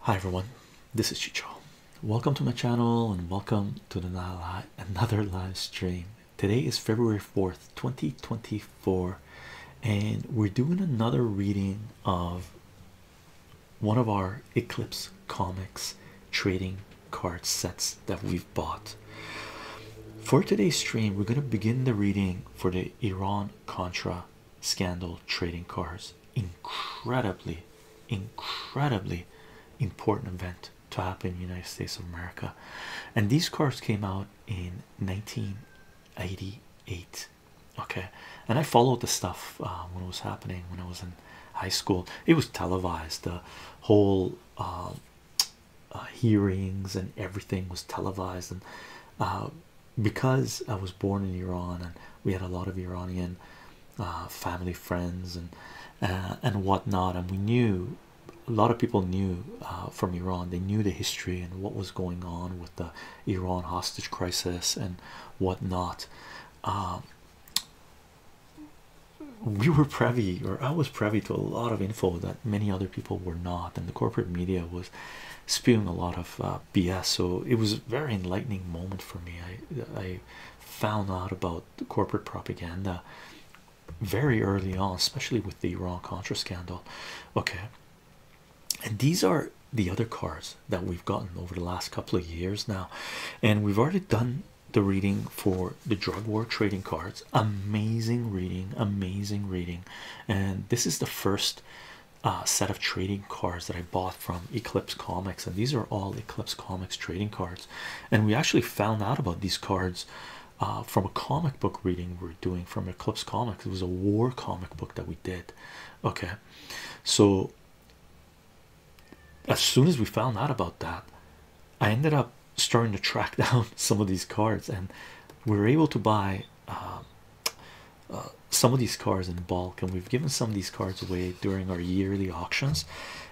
Hi everyone, this is Chicho. Welcome to my channel and welcome to the another live stream. Today is February 4th, 2024, and we're doing another reading of one of our Eclipse Comics trading card sets that we've bought. For today's stream, we're going to begin the reading for the Iran Contra scandal trading cars incredibly incredibly important event to happen in united states of america and these cars came out in 1988 okay and i followed the stuff uh, when it was happening when i was in high school it was televised the whole um, uh, hearings and everything was televised and uh, because I was born in Iran and we had a lot of Iranian uh, family friends and uh, and whatnot, and we knew a lot of people knew uh, from Iran. They knew the history and what was going on with the Iran hostage crisis and whatnot. Um, we were privy, or I was privy to a lot of info that many other people were not, and the corporate media was spewing a lot of BS. So it was a very enlightening moment for me. I I found out about corporate propaganda very early on, especially with the Iran Contra scandal. Okay, and these are the other cards that we've gotten over the last couple of years now, and we've already done the reading for the drug war trading cards. Amazing reading, amazing reading, and this is the first uh, set of trading cards that I bought from Eclipse Comics, and these are all Eclipse Comics trading cards. And we actually found out about these cards uh, from a comic book reading we're doing from Eclipse Comics. It was a war comic book that we did. Okay, so as soon as we found out about that, I ended up starting to track down some of these cards, and we were able to buy um, uh, some of these cards in bulk, and we've given some of these cards away during our yearly auctions.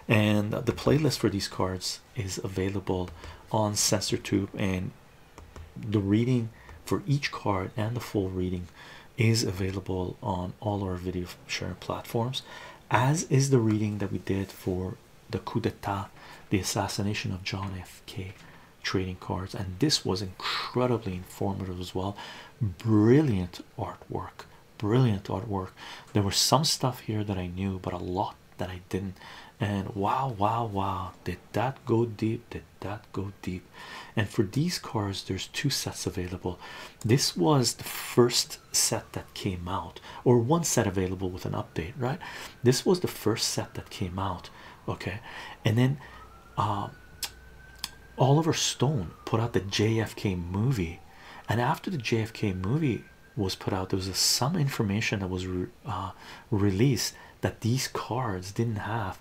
And the playlist for these cards is available on SensorTube, and the reading for each card and the full reading is available on all our video sharing platforms, as is the reading that we did for the coup d'etat, the assassination of John F. K trading cards and this was incredibly informative as well brilliant artwork brilliant artwork there was some stuff here that i knew but a lot that i didn't and wow wow wow did that go deep did that go deep and for these cards there's two sets available this was the first set that came out or one set available with an update right this was the first set that came out okay and then um, Oliver Stone put out the JFK movie, and after the JFK movie was put out, there was some information that was uh, released that these cards didn't have.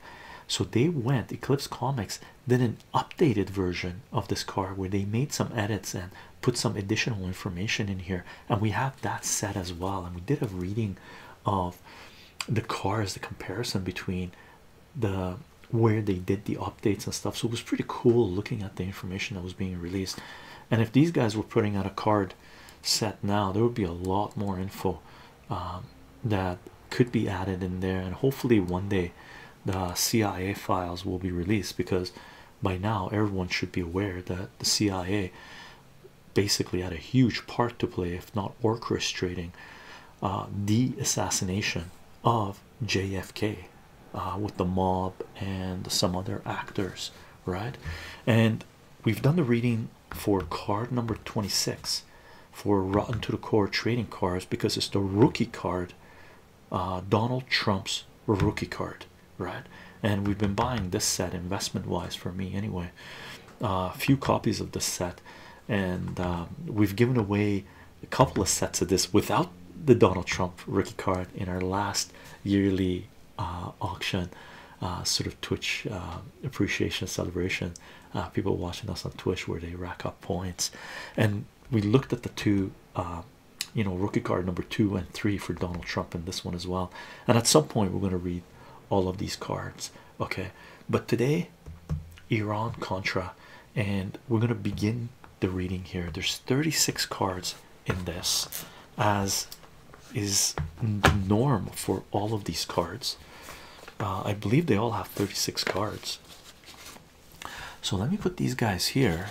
So they went Eclipse Comics did an updated version of this card where they made some edits and put some additional information in here, and we have that set as well. And we did a reading of the cards, the comparison between the where they did the updates and stuff so it was pretty cool looking at the information that was being released and if these guys were putting out a card set now there would be a lot more info um, that could be added in there and hopefully one day the CIA files will be released because by now everyone should be aware that the CIA basically had a huge part to play if not orchestrating uh, the assassination of JFK uh, with the mob and some other actors, right? And we've done the reading for card number 26 for Rotten to the Core trading cards because it's the rookie card, uh, Donald Trump's rookie card, right? And we've been buying this set investment wise for me anyway. A few copies of this set and um, we've given away a couple of sets of this without the Donald Trump rookie card in our last yearly uh, auction, uh, sort of Twitch uh, appreciation celebration. people watching us on Twitch where they rack up points, and we looked at the two, you know, rookie card number two and three for Donald Trump and this one as well. And at some point, we're going to read all of these cards, okay? But today, Iran Contra, and we're going to begin the reading here. There's 36 cards in this, as is the norm for all of these cards. Uh, I believe they all have 36 cards. So let me put these guys here,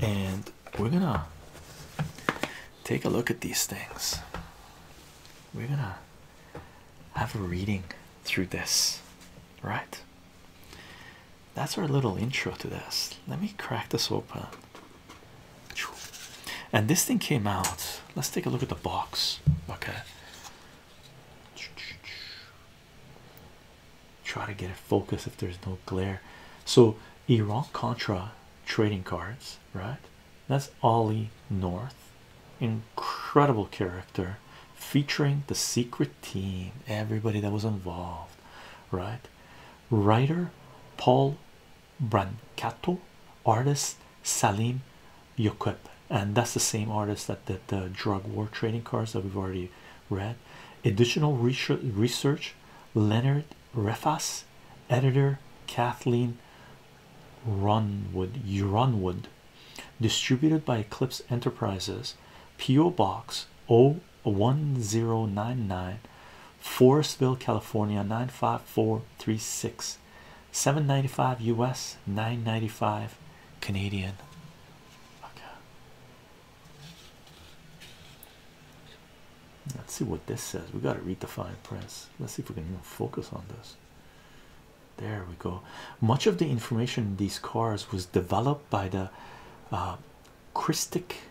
and we're gonna take a look at these things. We're gonna have a reading through this, right? That's our little intro to this. Let me crack this open. And this thing came out. Let's take a look at the box. Okay. Try to get a focus if there's no glare. So, Iran Contra trading cards, right? That's Ollie North, incredible character featuring the secret team, everybody that was involved, right? Writer Paul Brancato, artist Salim Yokep, and that's the same artist that did the drug war trading cards that we've already read. Additional research Leonard Refas, editor Kathleen Runwood, Runwood, distributed by Eclipse Enterprises, P.O. Box 01099, Forestville, California 95436, 795 US, 995 Canadian. Okay. Let's see what this says. We got to read the fine print. Let's see if we can even focus on this. There we go. Much of the information in these cars was developed by the uh, Christic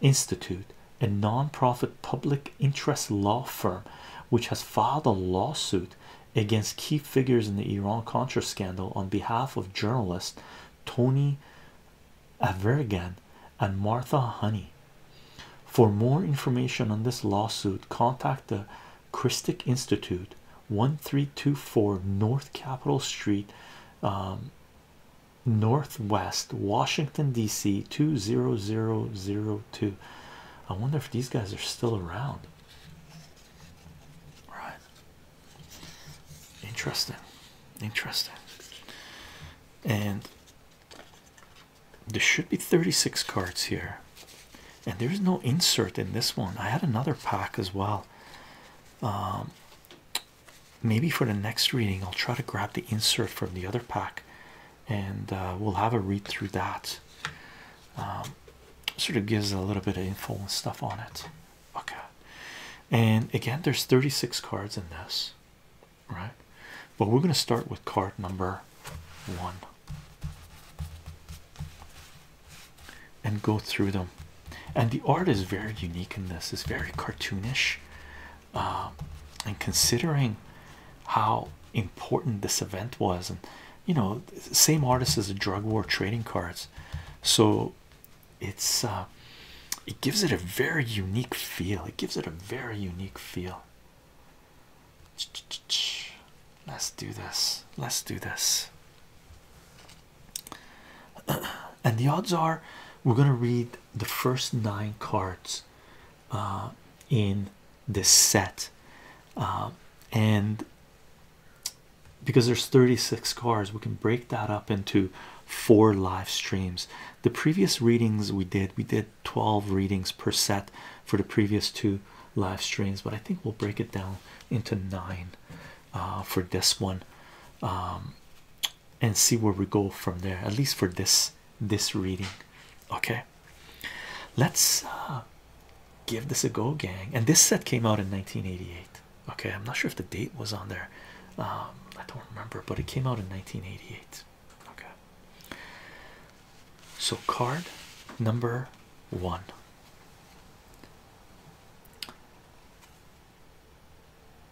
Institute, a non-profit public interest law firm, which has filed a lawsuit against key figures in the Iran-Contra scandal on behalf of journalists Tony Avergan and Martha Honey. For more information on this lawsuit, contact the Christic Institute 1324 North Capitol Street um, Northwest Washington DC 20002 I wonder if these guys are still around All right interesting interesting and there should be 36 cards here, and there's no insert in this one. I had another pack as well. Um, maybe for the next reading, I'll try to grab the insert from the other pack and uh, we'll have a read through that. Um, sort of gives a little bit of info and stuff on it. Okay, and again, there's 36 cards in this, right? But we're going to start with card number one and go through them. And the art is very unique in this, it's very cartoonish. Um, and considering how important this event was, and you know, same artist as the drug war trading cards, so it's uh, it gives it a very unique feel, it gives it a very unique feel. Let's do this. Let's do this. and the odds are we're going to read the first nine cards uh, in this set. Uh, and because there's 36 cards, we can break that up into four live streams. The previous readings we did, we did Twelve readings per set for the previous two live streams, but I think we'll break it down into nine uh, for this one um, and see where we go from there, at least for this this reading. Okay, let's uh, give this a go, gang. And this set came out in 1988. Okay, I'm not sure if the date was on there. Um, I don't remember, but it came out in 1988. Okay, so, card number one.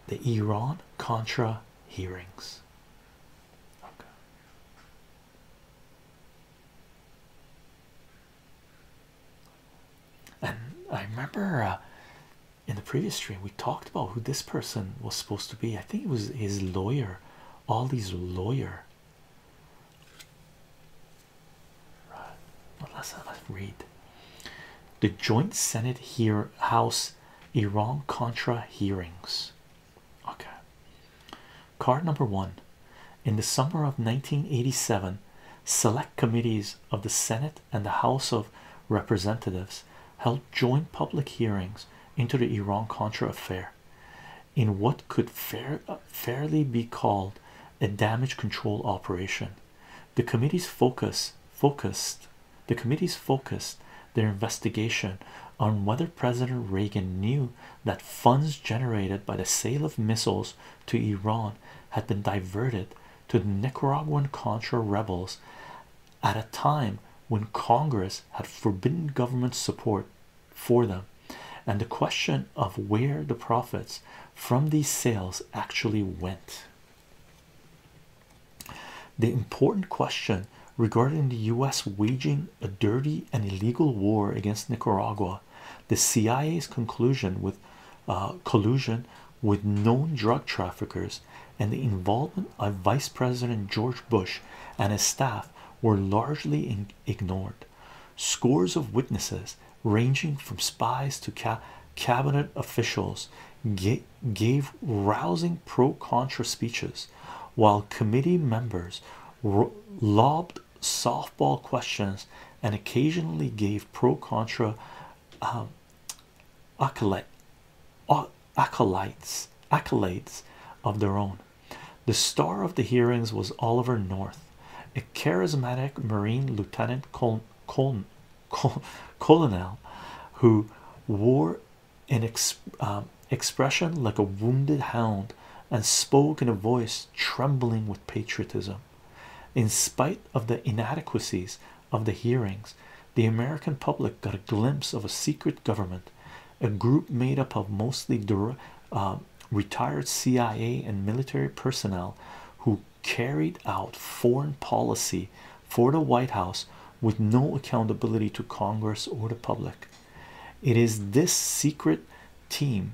The Iran Contra hearings. And I remember uh, in the previous stream we talked about who this person was supposed to be. I think it was his lawyer, all these lawyer uh, let's, read. The Joint Senate here House Iran Contra hearings. Okay. Card number one. In the summer of 1987, select committees of the Senate and the House of Representatives held joint public hearings into the Iran Contra affair in what could fairly be called a damage control operation. The committee's focus focused the committee's focused their investigation on whether President Reagan knew that funds generated by the sale of missiles to Iran had been diverted to the Nicaraguan Contra rebels at a time when Congress had forbidden government support for them and the question of where the profits from these sales actually went. The important question regarding the US waging a dirty and illegal war against Nicaragua, the CIA's conclusion with uh, collusion with known drug traffickers, and the involvement of Vice President George Bush and his staff were largely in ignored. Scores of witnesses, ranging from spies to cabinet officials, gave rousing pro contra speeches, while committee members lobbed softball questions and occasionally gave pro contra um, acolytes, of their own. The star of the hearings was Oliver North, a charismatic Marine Lieutenant Col who wore an um, expression like a wounded hound and spoke in a voice trembling with patriotism. In spite of the inadequacies of the hearings, the American public got a glimpse of a secret government a group made up of mostly uh, retired CIA and military personnel who carried out foreign policy for the White House with no accountability to Congress or the public. It is this secret team,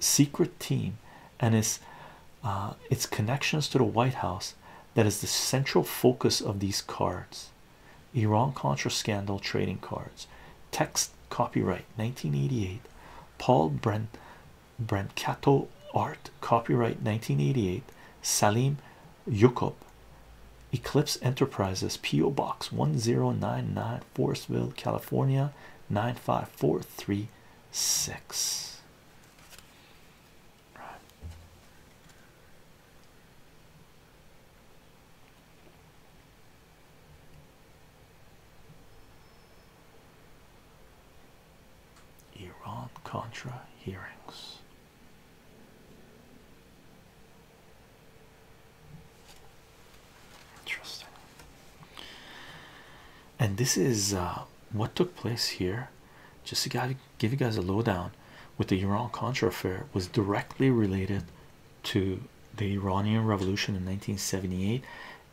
secret team, and its uh, its connections to the White House that is the central focus of these cards. Iran Contra scandal trading cards text copyright 1988 Paul Brent Brancato art copyright 1988 Salim Yukup Eclipse Enterprises PO Box 1099 Forestville California 95436 Iran Contra hearings. Interesting. And this is uh, what took place here. Just to give you guys a lowdown with the Iran Contra affair was directly related to the Iranian Revolution in 1978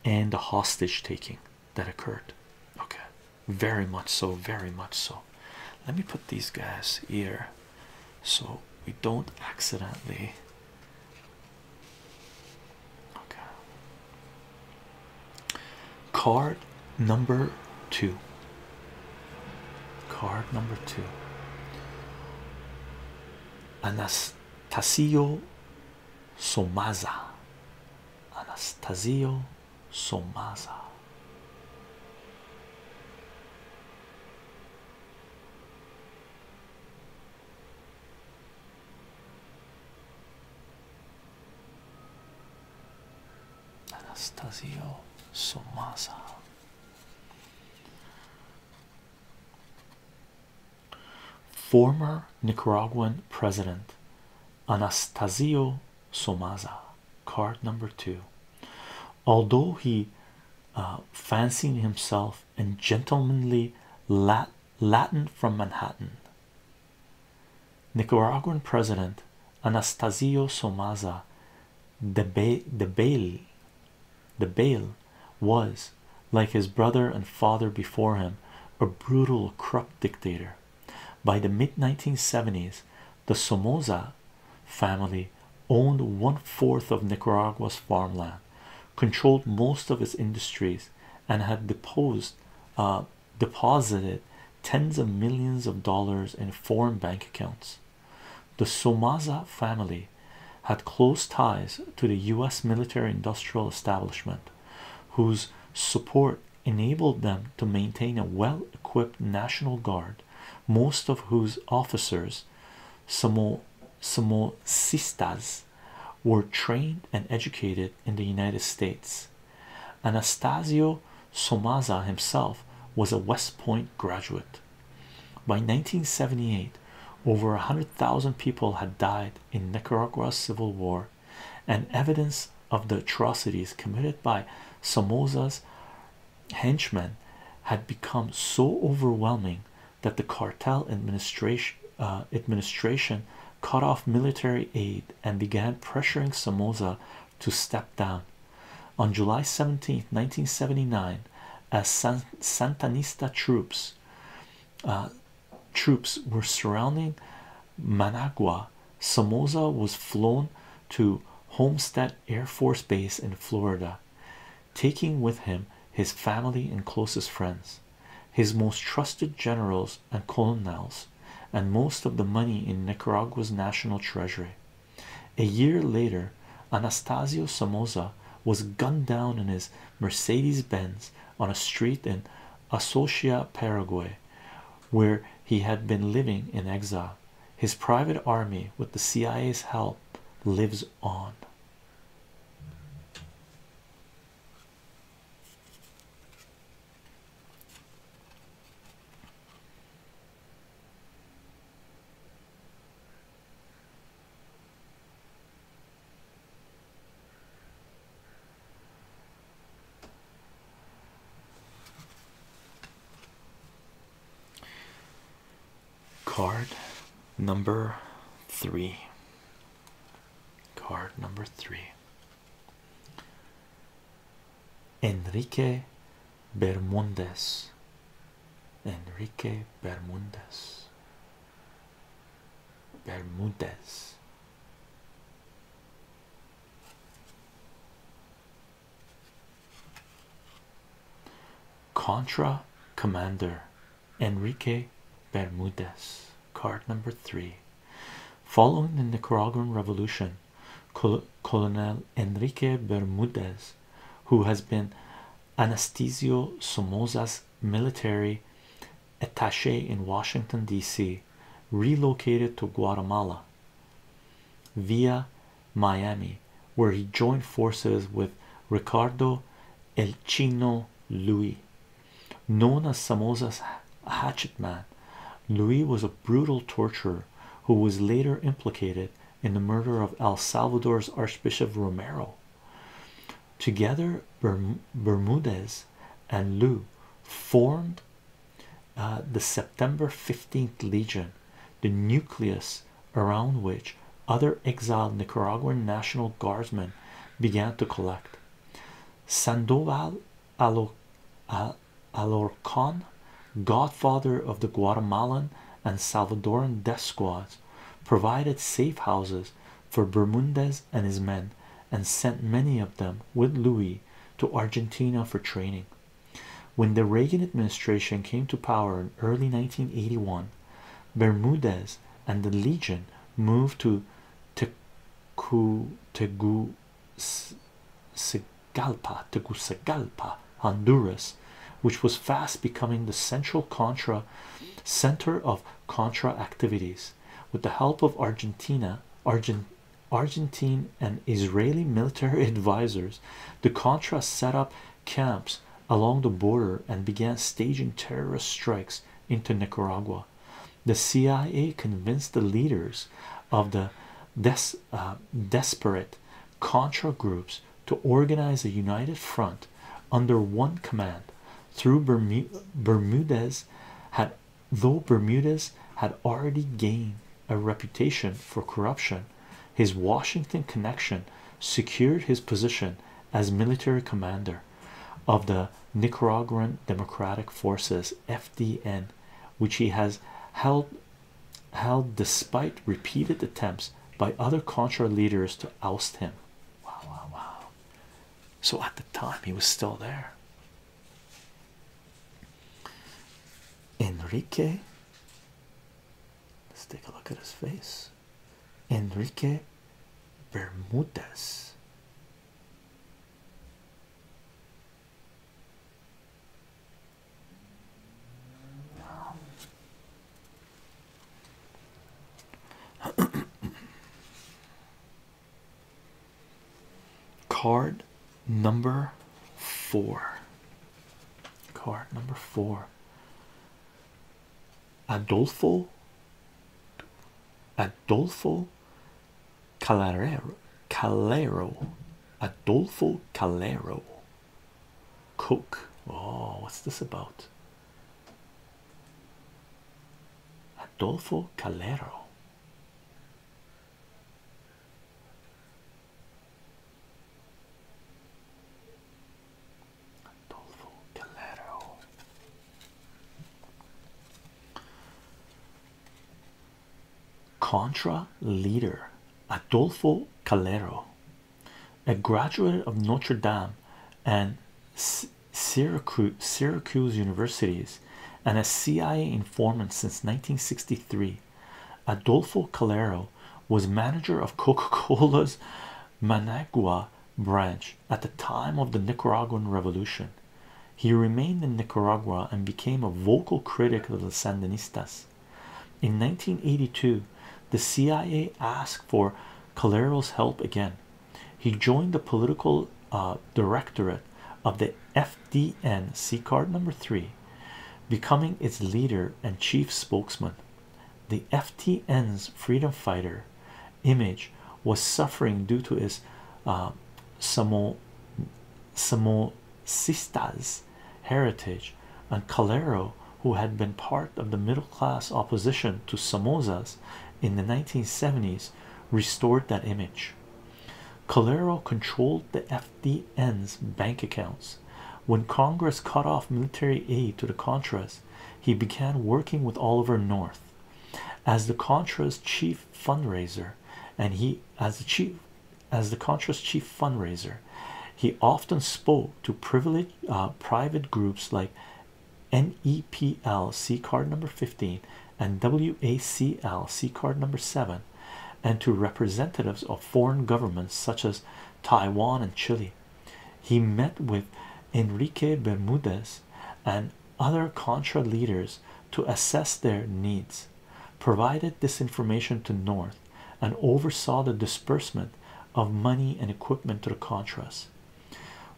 and the hostage taking that occurred. Okay, very much so, very much so. Let me put these guys here so we don't accidentally. Okay, card number two. Card number two. Anastasio Somaza. Anastasio Somaza. Anastasio Somaza. Former Nicaraguan President Anastasio Somaza, card number two. Although he uh, fancied himself a gentlemanly Latin from Manhattan, Nicaraguan President Anastasio Somaza the bail the bail was like his brother and father before him a brutal corrupt dictator by the mid-1970s the Somoza family owned one-fourth of Nicaragua's farmland controlled most of its industries and had uh, deposited tens of millions of dollars in foreign bank accounts the Somaza family had close ties to the U.S. military industrial establishment, whose support enabled them to maintain a well equipped National Guard, most of whose officers, Samo Samosistas, were trained and educated in the United States. Anastasio Somaza himself was a West Point graduate. By 1978, over 100,000 people had died in Nicaragua's civil war, and evidence of the atrocities committed by Somoza's henchmen had become so overwhelming that the cartel administration uh, administration cut off military aid and began pressuring Somoza to step down. On July 17, 1979, as uh, San Santanista troops uh, troops were surrounding Managua. Somoza was flown to Homestead Air Force Base in Florida, taking with him his family and closest friends, his most trusted generals and colonels, and most of the money in Nicaragua's national treasury. A year later, Anastasio Somoza was gunned down in his Mercedes Benz on a street in Associa, Paraguay, where he had been living in exile. His private army, with the CIA's help, lives on. Card number three. Card number three. Enrique Bermudez Enrique Bermudez. Bermudez. Contra Commander Enrique Bermudez, card number three. Following the Nicaraguan Revolution, Col Colonel Enrique Bermudez, who has been Anastasio Somoza's military attaché in Washington, D.C., relocated to Guatemala via Miami, where he joined forces with Ricardo El Chino Luis, Known as Somoza's hatchet man, Louis was a brutal torturer who was later implicated in the murder of El Salvador's Archbishop Romero. Together, Bermudez and Lou formed uh, the September 15th Legion, the nucleus around which other exiled Nicaraguan National Guardsmen began to collect. Sandoval Alorcan, godfather of the Guatemalan and Salvadoran death squads provided safe houses for Bermudez and his men, and sent many of them with Louis to Argentina for training. When the Reagan administration came to power in early 1981, Bermudez and the Legion moved to Tegucigalpa, Tegucigalpa Honduras, which was fast becoming the central Contra center of Contra activities. With the help of Argentina, Argent, Argentine, and Israeli military advisors, the Contra set up camps along the border and began staging terrorist strikes into Nicaragua. The CIA convinced the leaders of the uh, desperate contra groups to organize a united front under one command through Bermu had though Bermudez had already gained a reputation for corruption his Washington connection secured his position as military commander of the Nicaraguan Democratic Forces FDN which he has held held despite repeated attempts by other Contra leaders to oust him. Wow, wow, wow. So at the time, he was still there. Enrique, let's take a look at his face. Enrique Bermudez. Card number four. Card number four. Adolfo Adolfo Calero Calero Adolfo Calero Cook. Oh, what's this about? Adolfo Calero. Adolfo Calero. Contra leader Adolfo Calero a graduate of Notre Dame and Syracuse, universities, and a CIA informant since 1963. Adolfo Calero was manager of Coca-Cola's Managua branch at the time of the Nicaraguan Revolution. He remained in Nicaragua and became a vocal critic of the Sandinistas. In 1982, the CIA asked for Calero's help again. He joined the political uh, directorate of the FDN C number three, becoming its leader and chief spokesman. The FTN's freedom fighter image was suffering due to his uh, Samo Samosistas heritage and Calero, who had been part of the middle class opposition to Samosas in the 1970s, restored that image. Calero controlled the FDN's bank accounts. When Congress cut off military aid to the Contras, he began working with Oliver North as the Contras chief fundraiser, and he as the chief as the Contras chief fundraiser. He often spoke to privileged uh, private groups like NEPL C card number 15 and WACL C card number 7 and to representatives of foreign governments such as Taiwan and Chile. He met with Enrique Bermudez and other Contra leaders to assess their needs, provided this information to North and oversaw the disbursement of money and equipment to the Contras.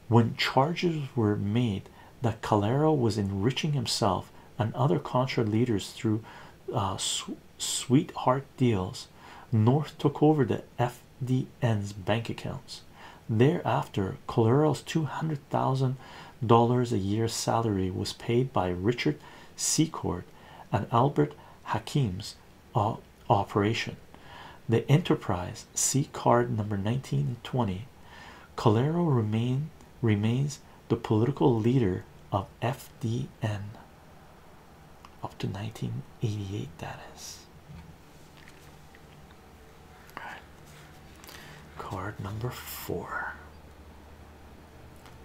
When charges were made that Calero was enriching himself and other Contra leaders through uh, sweetheart deals, North took over the FDN's bank accounts. Thereafter, Calero's $200,000 a year salary was paid by Richard Secord and Albert Hakims uh, operation. The Enterprise C card number nineteen twenty. and Calero remain remains the political leader of FDN up to 1988. That is card number four.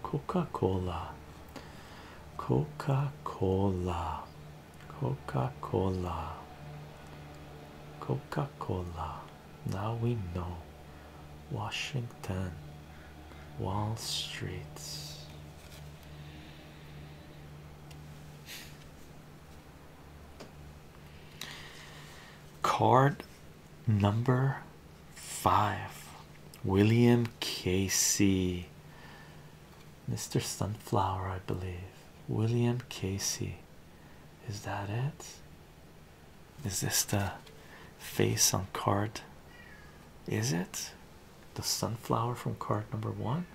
Coca Cola Coca-Cola. Coca-Cola. Coca-Cola. Now we know. Washington. Wall Street. Card number five. William Casey. Mr. Sunflower, I believe. William Casey. Is that it? Is this the face on card? Is it the sunflower from card number one?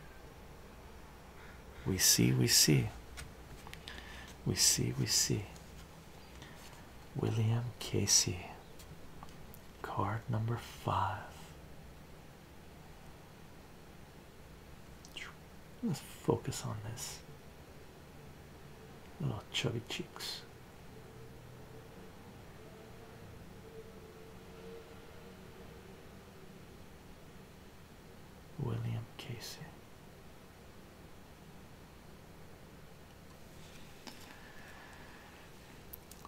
We see, we see, we see, we see. William Casey, card number five. Let's focus on this. Little chubby cheeks. William Casey.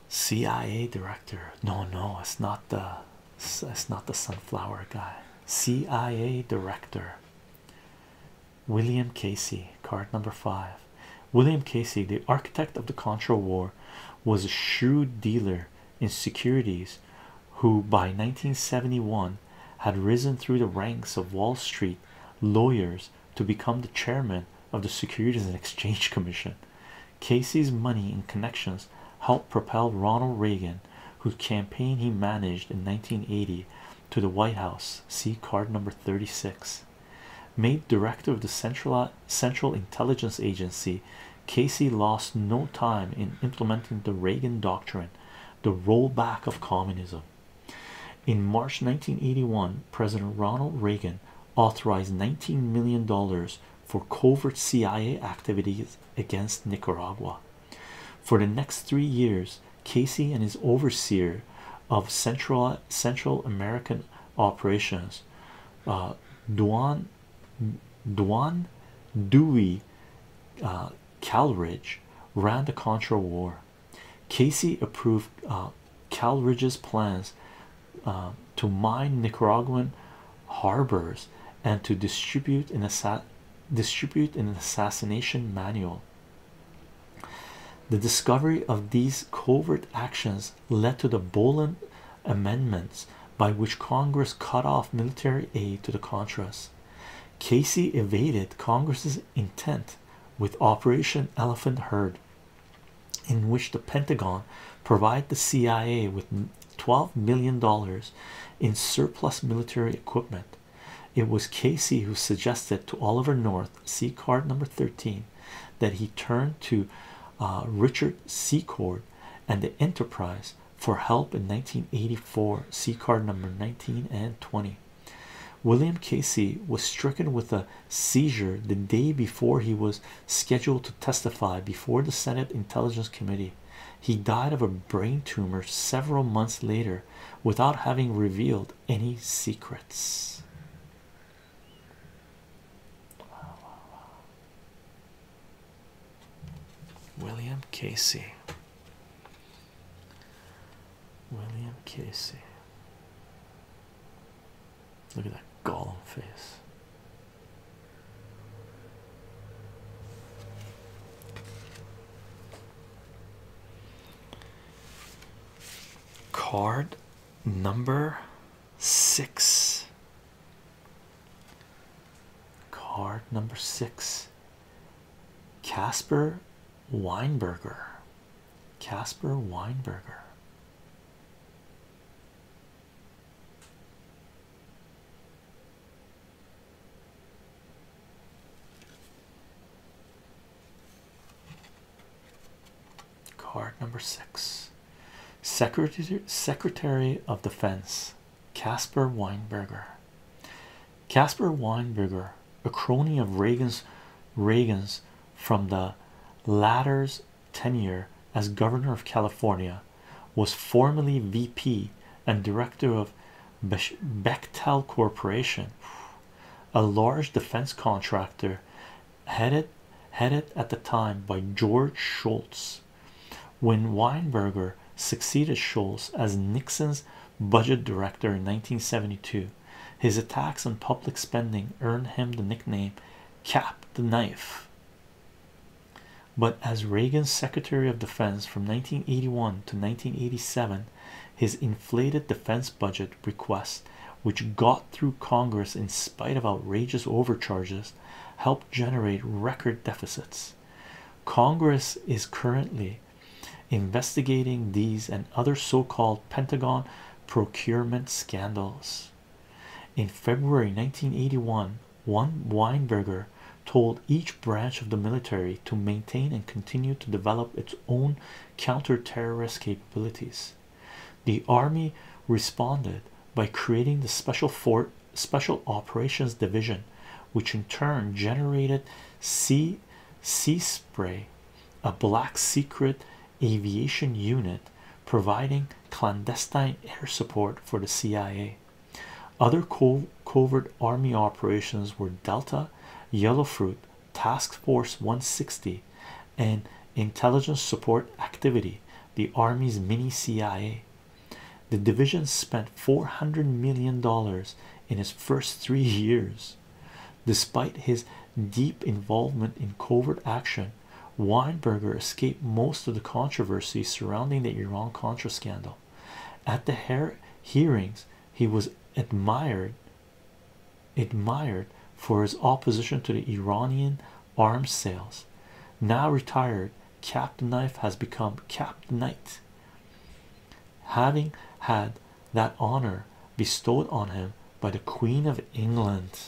CIA director. No, no, it's not the it's not the sunflower guy. CIA director William Casey, card number five. William Casey, the architect of the Contra War, was a shrewd dealer in securities who by 1971 had risen through the ranks of Wall Street lawyers to become the chairman of the Securities and Exchange Commission. Casey's money and connections helped propel Ronald Reagan, whose campaign he managed in 1980, to the White House. See card number 36. Made director of the Central Central Intelligence Agency, Casey lost no time in implementing the Reagan Doctrine, the rollback of communism. In March 1981, President Ronald Reagan authorized 19 million dollars for covert CIA activities against Nicaragua. For the next three years, Casey and his overseer of Central Central American operations, uh, Duan Dewey uh, ran the Contra War. Casey approved uh, Calridge's plans uh, to mine Nicaraguan harbors and to distribute an distribute an assassination manual. The discovery of these covert actions led to the Boland amendments by which Congress cut off military aid to the Contras. Casey evaded Congress's intent with Operation Elephant Herd in which the Pentagon provided the CIA with 12 million dollars in surplus military equipment. It was Casey who suggested to Oliver North, see card number 13, that he turn to uh, Richard Secord and the Enterprise for help in 1984, see card number 19 and 20. William Casey was stricken with a seizure the day before he was scheduled to testify before the Senate Intelligence Committee. He died of a brain tumor several months later without having revealed any secrets. William Casey. William Casey. Look at that golem face. Card number six. Card number six. Casper Weinberger. Casper Weinberger. Card number six, Secretary Secretary of Defense Casper Weinberger. Casper Weinberger, a crony of Reagan's Reagan's from the latter's tenure as governor of California, was formerly VP and director of Bechtel Corporation, a large defense contractor headed headed at the time by George Shultz. When Weinberger succeeded Schultz as Nixon's budget director in 1972, his attacks on public spending earned him the nickname Cap the Knife. But as Reagan's Secretary of Defense from 1981 to 1987, his inflated defense budget requests, which got through Congress in spite of outrageous overcharges, helped generate record deficits. Congress is currently investigating these and other so called Pentagon procurement scandals. In February 1981, one Weinberger told each branch of the military to maintain and continue to develop its own counter-terrorist capabilities. The Army responded by creating the Special Fort Special Operations Division, which in turn generated Sea Sea Spray, a black secret aviation unit providing clandestine air support for the CIA. Other covert army operations were Delta, Yellow Fruit, Task Force 160, and Intelligence Support Activity, the Army's mini CIA. The division spent $400 million in its first three years. Despite his deep involvement in covert action, Weinberger escaped most of the controversy surrounding the Iran Contra scandal. At the hearings, he was admired admired for his opposition to the Iranian arms sales. Now retired, Captain Knife has become Captain Knight. Having had that honor bestowed on him by the Queen of England.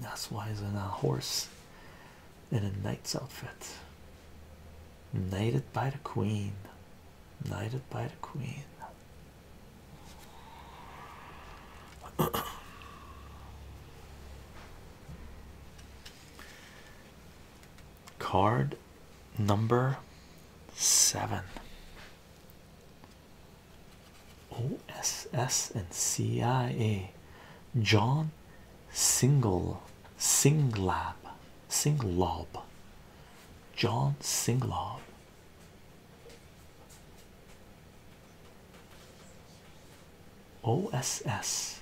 That's why he's in a horse in a knight's outfit. Knighted by the queen. Knighted by the queen. Card number seven OSS and CIA John Single Singlab Singlob John Singlob. OSS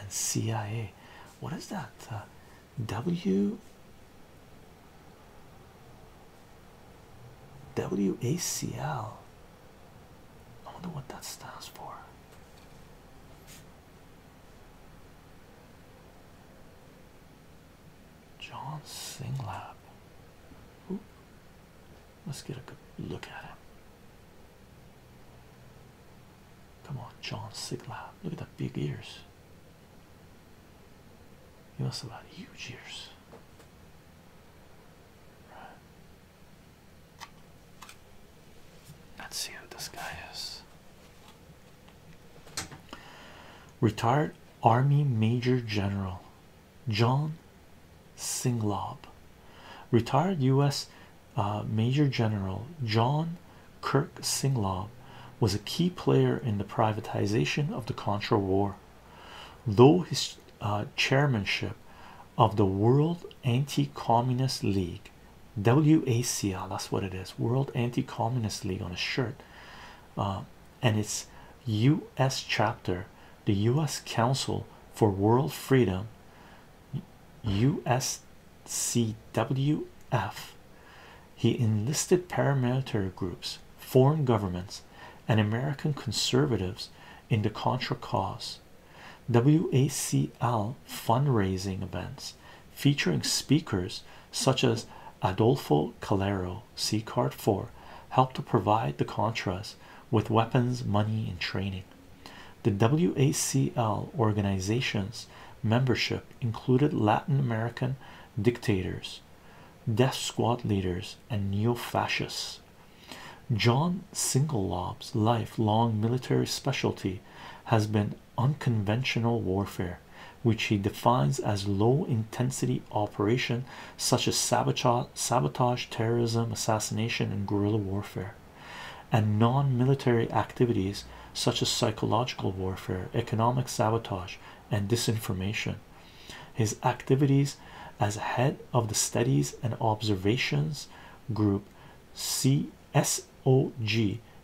and CIA. What is that? Uh, W WACL. I wonder what that stands for. John Singlab. Ooh. Let's get a good look at him. Come on, John Singlab. Look at the big ears. He must have had huge ears. Let's see who this guy is. Retired Army Major General John Singlob. Retired U.S. Uh, Major General John Kirk Singlaw was a key player in the privatization of the Contra War. Though his uh, chairmanship of the World Anti-Communist League, WACL, that's what it is, World Anti-Communist League on a shirt, uh, and its U.S. chapter, the U.S. Council for World Freedom, U.S. CWF. He enlisted paramilitary groups, foreign governments, and American conservatives in the Contra cause. WACL fundraising events featuring speakers such as Adolfo Calero, C card 4, helped to provide the Contras with weapons, money, and training. The WACL organization's membership included Latin American dictators, death squad leaders, and neo-fascists. John Singlelob's lifelong military specialty has been unconventional warfare, which he defines as low-intensity operation such as sabotage, sabotage, terrorism, assassination, and guerrilla warfare, and non-military activities such as psychological warfare, economic sabotage, and disinformation. His activities as head of the Studies and Observations Group CSOG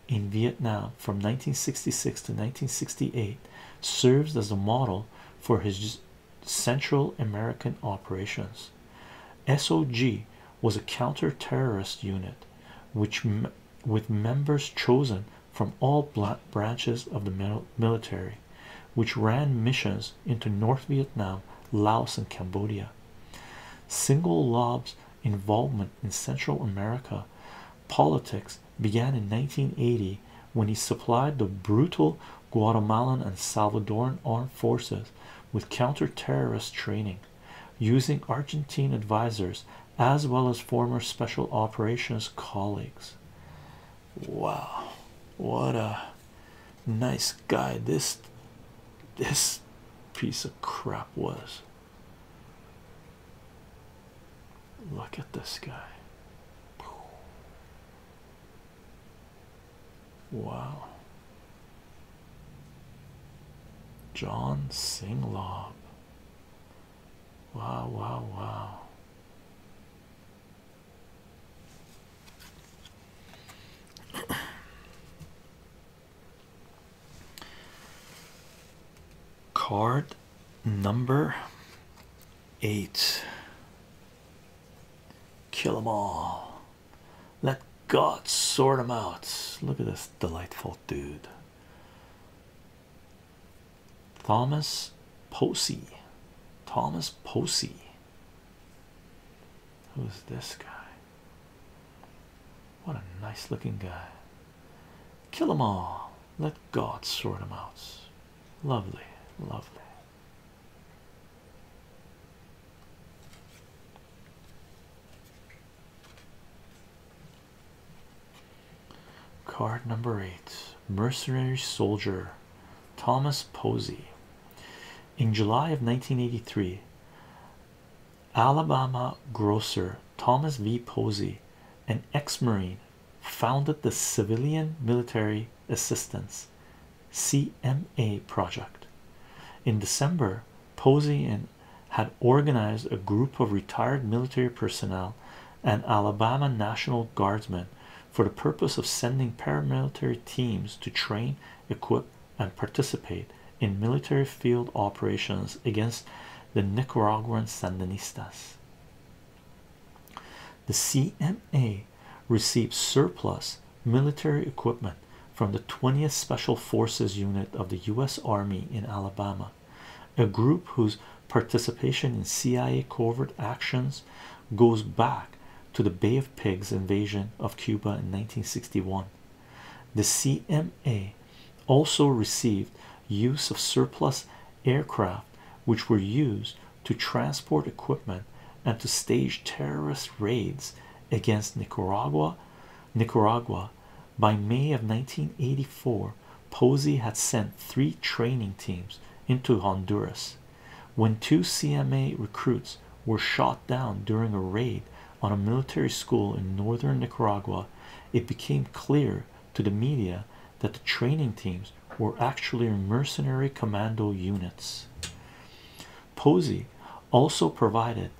in Vietnam from 1966 to 1968 serves as a model for his Central American operations. SOG was a counter-terrorist unit which with members chosen from all branches of the military, which ran missions into North Vietnam, Laos, and Cambodia. Single Lob's involvement in Central America politics began in 1980 when he supplied the brutal Guatemalan and Salvadoran armed forces with counter-terrorist training using Argentine advisors as well as former special operations colleagues. Wow, what a nice guy this this piece of crap was. Look at this guy. Wow. John Singhlob. Wow, wow, wow. Card number eight. Kill them all. Let God sort them out. Look at this delightful dude. Thomas Posey. Thomas Posey. Who's this guy? What a nice looking guy. Kill them all. Let God sort them out. Lovely, lovely. Card number eight Mercenary Soldier Thomas Posey. In July of 1983, Alabama grocer Thomas V. Posey, an ex Marine, founded the Civilian Military Assistance CMA project. In December, Posey and had organized a group of retired military personnel and Alabama National Guardsmen for the purpose of sending paramilitary teams to train, equip, and participate in military field operations against the Nicaraguan Sandinistas. The CMA received surplus military equipment from the 20th Special Forces Unit of the U.S. Army in Alabama a group whose participation in CIA covert actions goes back to the Bay of Pigs invasion of Cuba in 1961. The CMA also received use of surplus aircraft which were used to transport equipment and to stage terrorist raids against Nicaragua, Nicaragua, by May of 1984, Posey had sent three training teams into Honduras when two CMA recruits were shot down during a raid on a military school in northern Nicaragua. It became clear to the media that the training teams were actually mercenary commando units. Posey also provided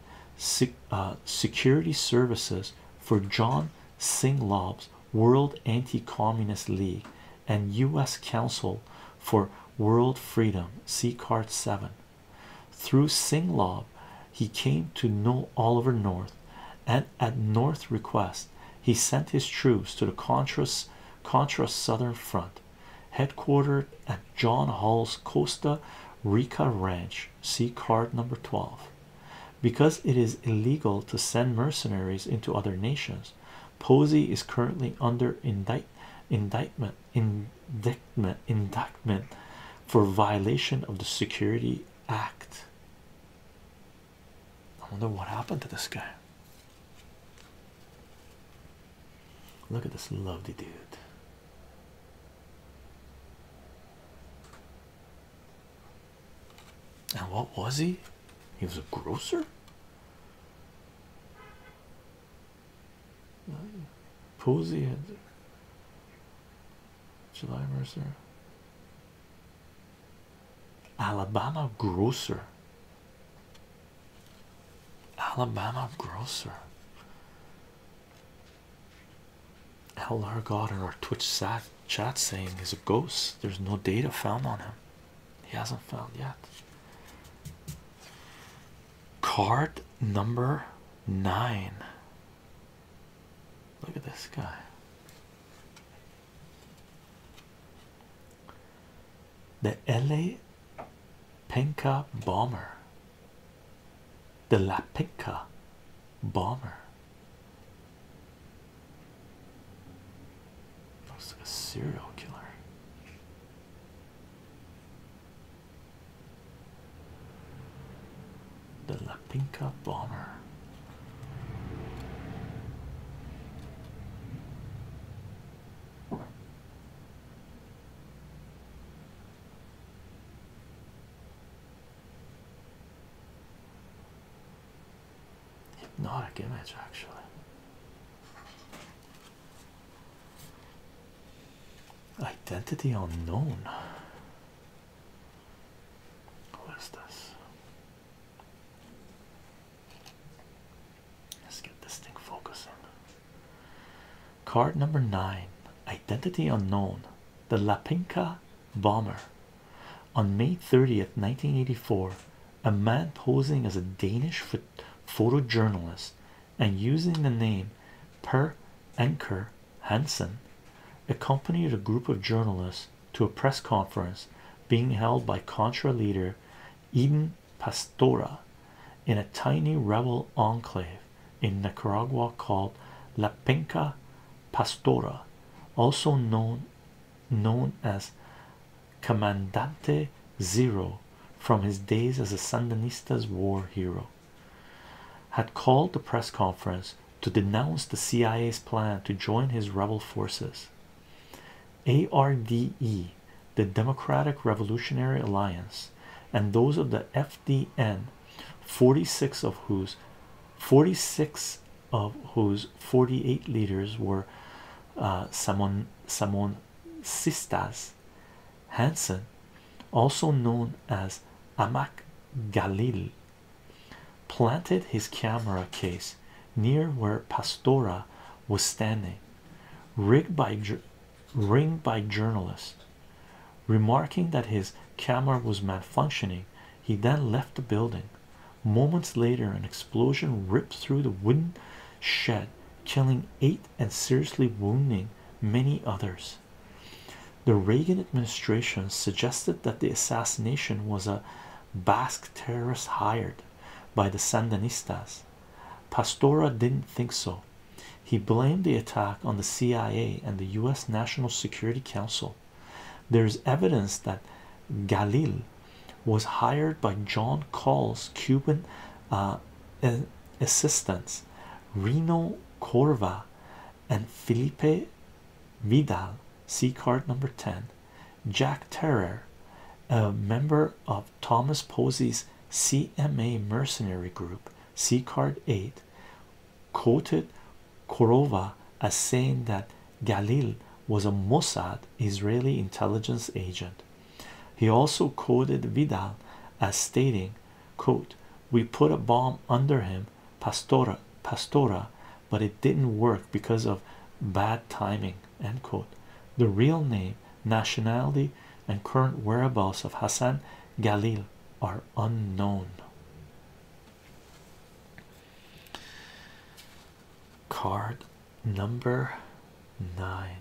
uh, security services for John Singlobs, World Anti-Communist League, and U.S. Council for World Freedom. See card seven. Through Singlob, he came to know Oliver North, and at North's request, he sent his troops to the Contras Contra Southern Front, headquartered at John Hall's Costa Rica Ranch. See card number 12 because it is illegal to send mercenaries into other nations. Posey is currently under indictment indictment for violation of the Security Act. I wonder what happened to this guy. Look at this lovely dude. And what was he? He was a grocer. Posey and July Mercer. Alabama grocer. Alabama grocer. LR got in our Twitch chat saying he's a ghost. There's no data found on him. He hasn't found yet. Card number nine. Look at this guy. The LA Penka bomber the Lapinka bomber. Looks like a serial killer. The Lapinka bomber. Hypnotic image, actually. Identity unknown. What is this? Let's get this thing focusing. Card number nine Identity Unknown. The Lapinka bomber. On May 30th, 1984, a man posing as a Danish photojournalist and using the name Per Enker Hansen accompanied a group of journalists to a press conference being held by Contra leader Eden Pastora in a tiny rebel enclave in Nicaragua called La Penca Pastora, also known known as Commandante Zero from his days as a Sandinista's war hero, had called the press conference to denounce the CIA's plan to join his rebel forces. ARDE, the Democratic Revolutionary Alliance, and those of the FDN 46 of whose 46 of whose 48 leaders were uh, Samon Samon Sistas Hansen, also known as Amak Galil, planted his camera case near where Pastora was standing, rigged by ringed by journalists, remarking that his camera was malfunctioning he then left the building. Moments later, an explosion ripped through the wooden shed, killing eight and seriously wounding many others. The Reagan administration suggested that the assassination was a Basque terrorist hired by the Sandinistas. Pastora didn't think so. He blamed the attack on the CIA and the U.S. National Security Council there's evidence that Galil was hired by John Call's Cuban uh, assistants Reno Corva and Felipe Vidal, see card number 10. Jack Terror, a member of Thomas Posey's CMA mercenary group, see card 8 quoted Korova as saying that Galil was a Mossad Israeli intelligence agent. He also quoted Vidal as stating, quote, we put a bomb under him, Pastora, Pastora, but it didn't work because of bad timing, end quote. The real name, nationality, and current whereabouts of Hassan Galil are unknown. Card number nine.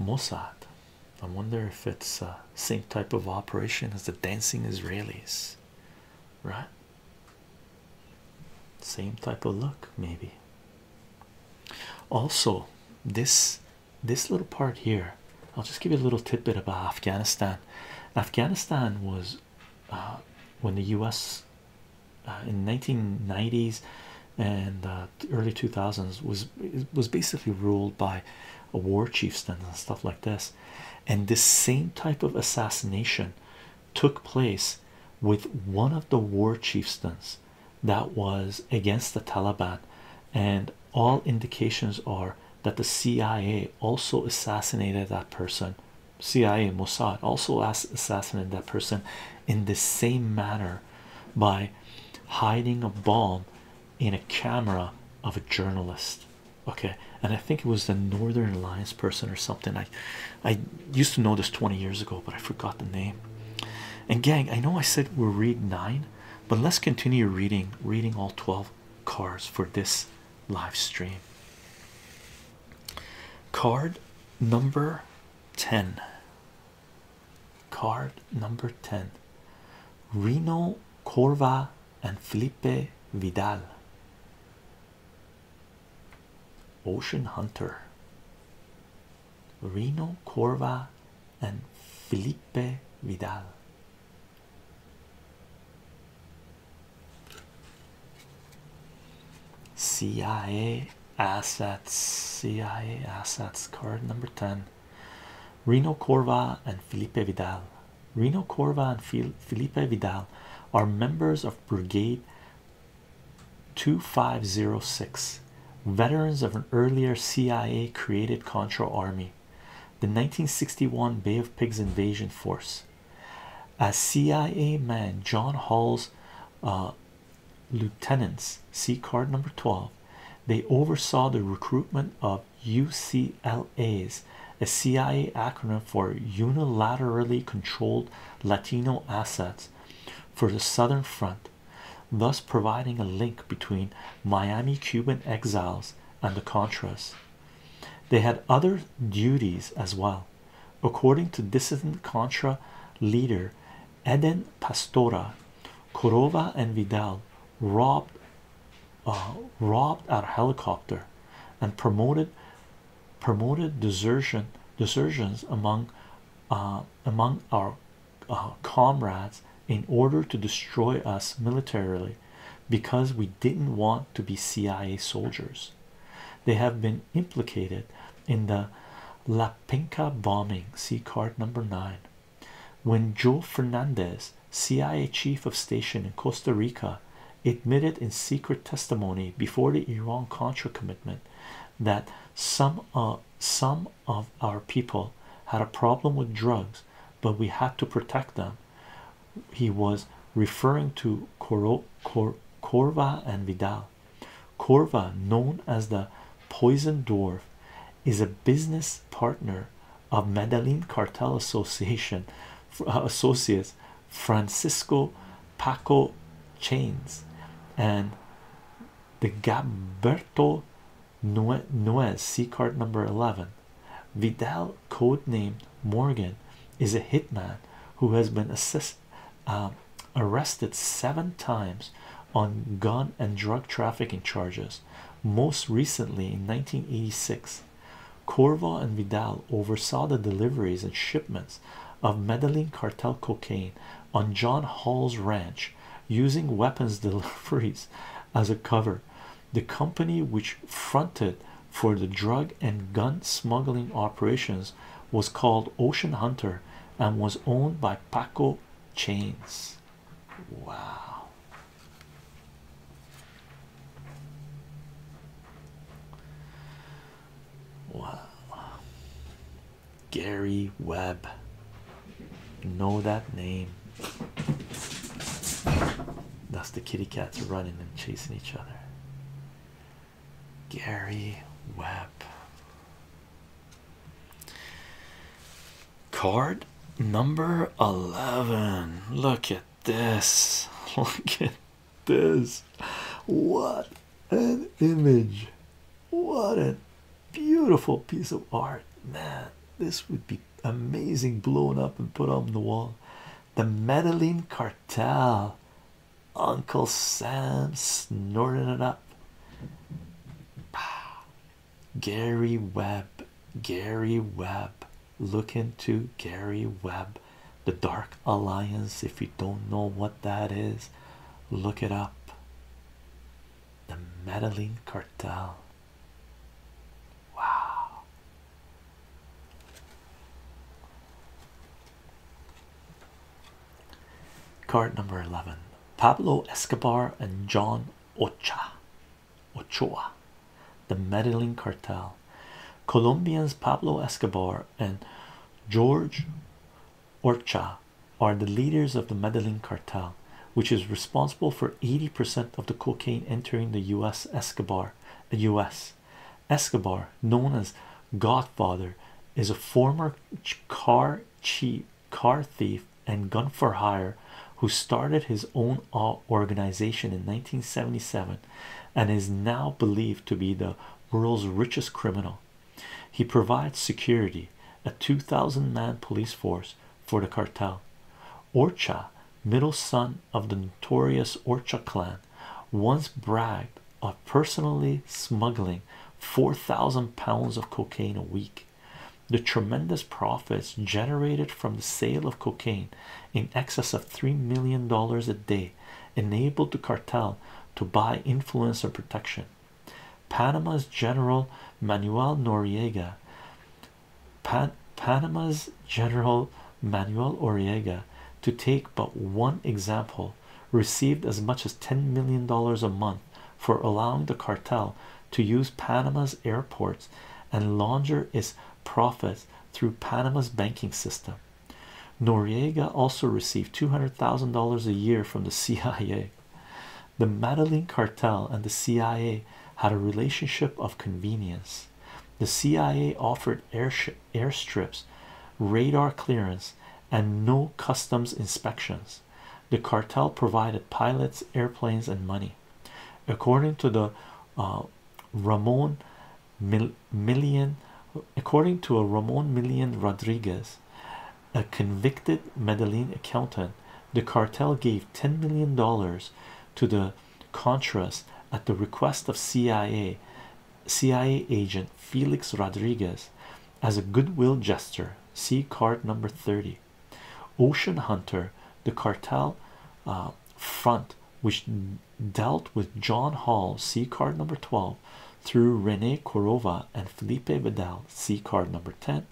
Mossad. I wonder if it's uh, same type of operation as the dancing Israelis, right? Same type of look, maybe. Also, this this little part here i'll just give you a little tidbit about afghanistan afghanistan was uh, when the u.s uh, in 1990s and uh, early 2000s was was basically ruled by a war chieftain and stuff like this and this same type of assassination took place with one of the war chieftains that was against the Taliban, and all indications are that the CIA also assassinated that person. CIA Mossad also assassinated that person in the same manner by hiding a bomb in a camera of a journalist. Okay, and I think it was the Northern Alliance person or something. I I used to know this 20 years ago, but I forgot the name. And gang, I know I said we'll read nine, but let's continue reading, reading all 12 cards for this live stream. Card number 10. Card number 10. Rino Corva and Felipe Vidal. Ocean Hunter. Reno Corva and Felipe Vidal. CIA assets, CIA assets card number 10. Reno Corva and Felipe Vidal. Reno Corva and Felipe Vidal are members of Brigade 2506 veterans of an earlier CIA created Contra army the 1961 Bay of Pigs invasion force as CIA man John Hall's uh, lieutenants see card number 12 they oversaw the recruitment of UCLA's a CIA acronym for unilaterally controlled Latino assets for the Southern Front thus providing a link between Miami Cuban exiles and the Contras. They had other duties as well. According to dissident Contra leader Eden Pastora, Corova and Vidal robbed uh, robbed our helicopter and promoted promoted desertions among uh, among our uh, comrades in order to destroy us militarily because we didn't want to be CIA soldiers. They have been implicated in the Lapinka bombing, see card number nine. When Joe Fernandez, CIA chief of station in Costa Rica, admitted in secret testimony before the Iran Contra commitment that some uh, some of our people had a problem with drugs, but we had to protect them. He was referring to Coro Corva and Vidal. Corva, known as the Poison Dwarf, is a business partner of Medellin Cartel Association uh, Associates Francisco Paco Chains and the Gabberto Nuez C card number 11. Vidal, codenamed Morgan, is a hitman who has been um, arrested seven times on gun and drug trafficking charges, most recently in 1986. Corvo and Vidal oversaw the deliveries and shipments of Medellin cartel cocaine on John Hall's ranch using weapons deliveries as a cover. The company which fronted for the drug and gun smuggling operations was called Ocean Hunter and was owned by Paco Chains. Wow. Wow. Gary Webb. Know that name. That's the kitty cats running and chasing each other. Gary Webb. Card number 11. Look at this. Look at this. What an image. What an Beautiful piece of art, man. This would be amazing blown up and put on the wall. The Madeline Cartel, Uncle Sam snorting it up. Gary Webb, Gary Webb, look into Gary Webb, the Dark Alliance. If you don't know what that is, look it up the Medellin cartel. Wow. Card number 11 Pablo Escobar and John Ochoa, Ochoa, the Medellin cartel. Colombians Pablo Escobar and George Orcha are the leaders of the Medellin cartel, which is responsible for 80% of the cocaine entering the U.S. Escobar, the U.S. Escobar, known as Godfather, is a former car cheat, car thief, and gun for hire who started his own organization in 1977 and is now believed to be the world's richest criminal. He provides security, a 2,000 man police force for the cartel. Orcha, middle son of the notorious Orcha clan, once bragged of personally smuggling 4,000 pounds of cocaine a week. The tremendous profits generated from the sale of cocaine in excess of $3 million a day enabled the cartel to buy influence influencer protection Panama's General Manuel Noriega Panama's General Manuel Oriega to take but one example received as much as 10 million dollars a month for allowing the cartel to use Panama's airports and launder its profits through Panama's banking system. Noriega also received $200,000 a year from the CIA the Madeline cartel and the CIA had a relationship of convenience. The CIA offered air strips, radar clearance, and no customs inspections. The cartel provided pilots, airplanes, and money. According to the uh, Ramon Millian. according to a Ramon Millian Rodriguez, a convicted Medellin accountant, the cartel gave 10 million dollars to the Contras at the request of CIA CIA agent Felix Rodriguez as a goodwill gesture. See card number 30. Ocean Hunter, the cartel uh, front which dealt with John Hall, see card number 12, through Rene Corova and Felipe Vidal, see card number 10,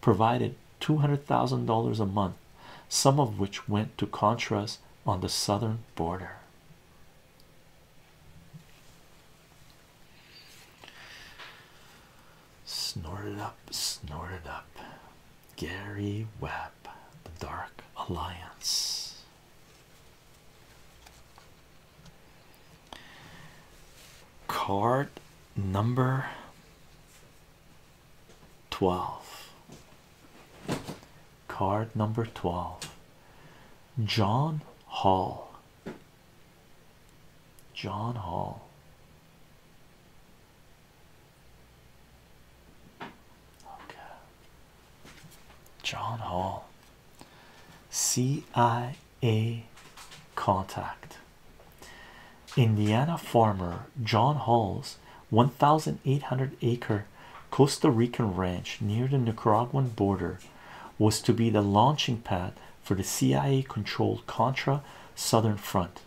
provided $200,000 a month, some of which went to Contras on the southern border. Snorted up, snorted up. Gary Webb, The Dark Alliance. Card number 12. Card number 12. John Hall. John Hall. Okay. John Hall. C I a contact Indiana farmer John Hall's 1,800 acre Costa Rican ranch near the Nicaraguan border was to be the launching pad for the CIA controlled Contra Southern Front.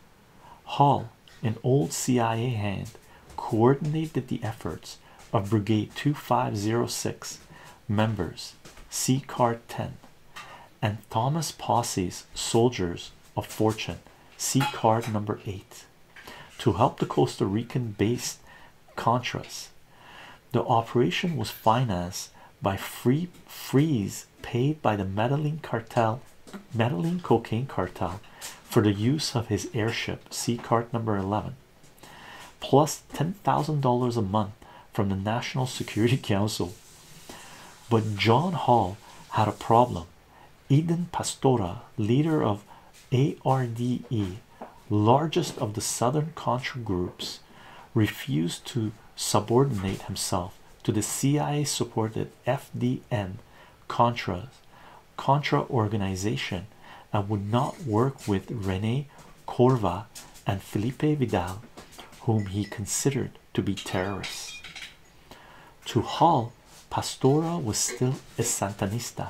Hall, an old CIA hand, coordinated the efforts of Brigade 2506 members see card 10 and thomas posse's soldiers of fortune see card number 8 to help the costa rican based contras the operation was financed by free frees paid by the meddling cartel meddling cocaine cartel for the use of his airship see card number 11 plus ten thousand dollars a month from the National Security Council. But John Hall had a problem. Eden Pastora, leader of ARDE, largest of the Southern Contra groups, refused to subordinate himself to the CIA supported FDN Contra organization and would not work with Renee. Corva, and Felipe Vidal, whom he considered to be terrorists. To Hall, Pastor was still a Santanista.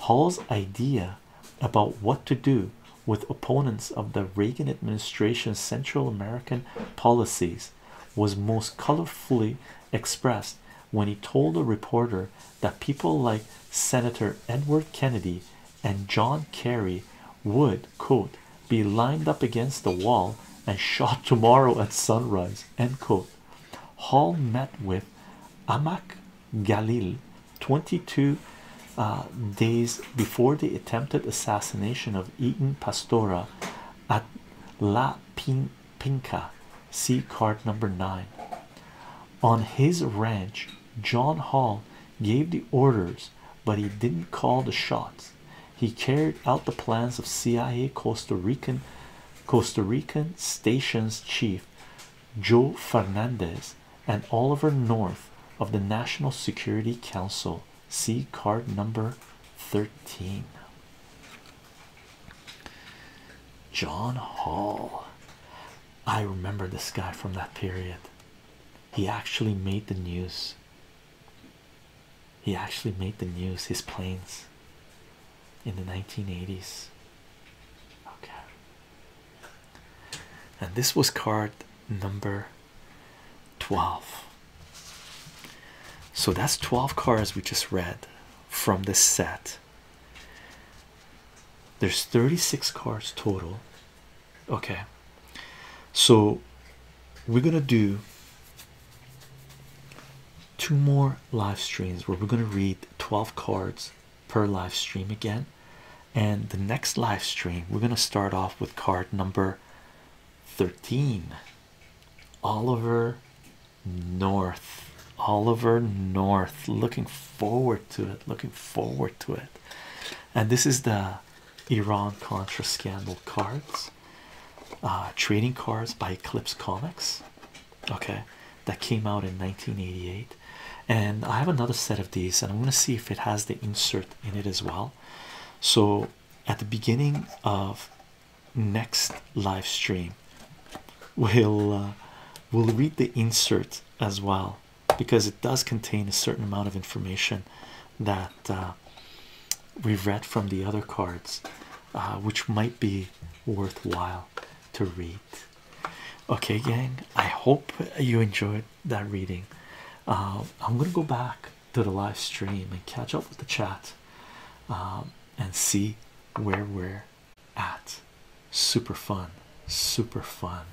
Hall's idea about what to do with opponents of the Reagan administration's Central American policies was most colorfully expressed when he told a reporter that people like Senator Edward Kennedy and John Kerry would quote be lined up against the wall and shot tomorrow at sunrise end quote Hall met with Amak Galil 22 uh, days before the attempted assassination of Eaton Pastora at La Pin Pinca see card number 9 on his ranch John Hall gave the orders but he didn't call the shots. He carried out the plans of CIA Costa Rican Costa Rican stations chief Joe Fernandez and Oliver North of the National Security Council. See card number 13. John Hall. I remember this guy from that period. He actually made the news. He actually made the news, his planes in the 1980s. Okay. And this was card number 12. So that's 12 cards we just read from this set. There's 36 cards total okay so we're gonna do two more live streams where we're gonna read 12 cards per live stream again and the next live stream we're gonna start off with card number 13 Oliver North Oliver North looking forward to it looking forward to it and this is the Iran Contra scandal cards, uh, trading cards by Eclipse Comics. Okay, that came out in 1988, and I have another set of these, and I'm gonna see if it has the insert in it as well. So at the beginning of next live stream, we'll uh, we'll read the insert as well because it does contain a certain amount of information that uh, we've read from the other cards, uh, which might be worthwhile to read. Okay, gang, I hope you enjoyed that reading. Uh, I'm gonna go back to the live stream and catch up with the chat um, and see where we're at. Super fun, super fun.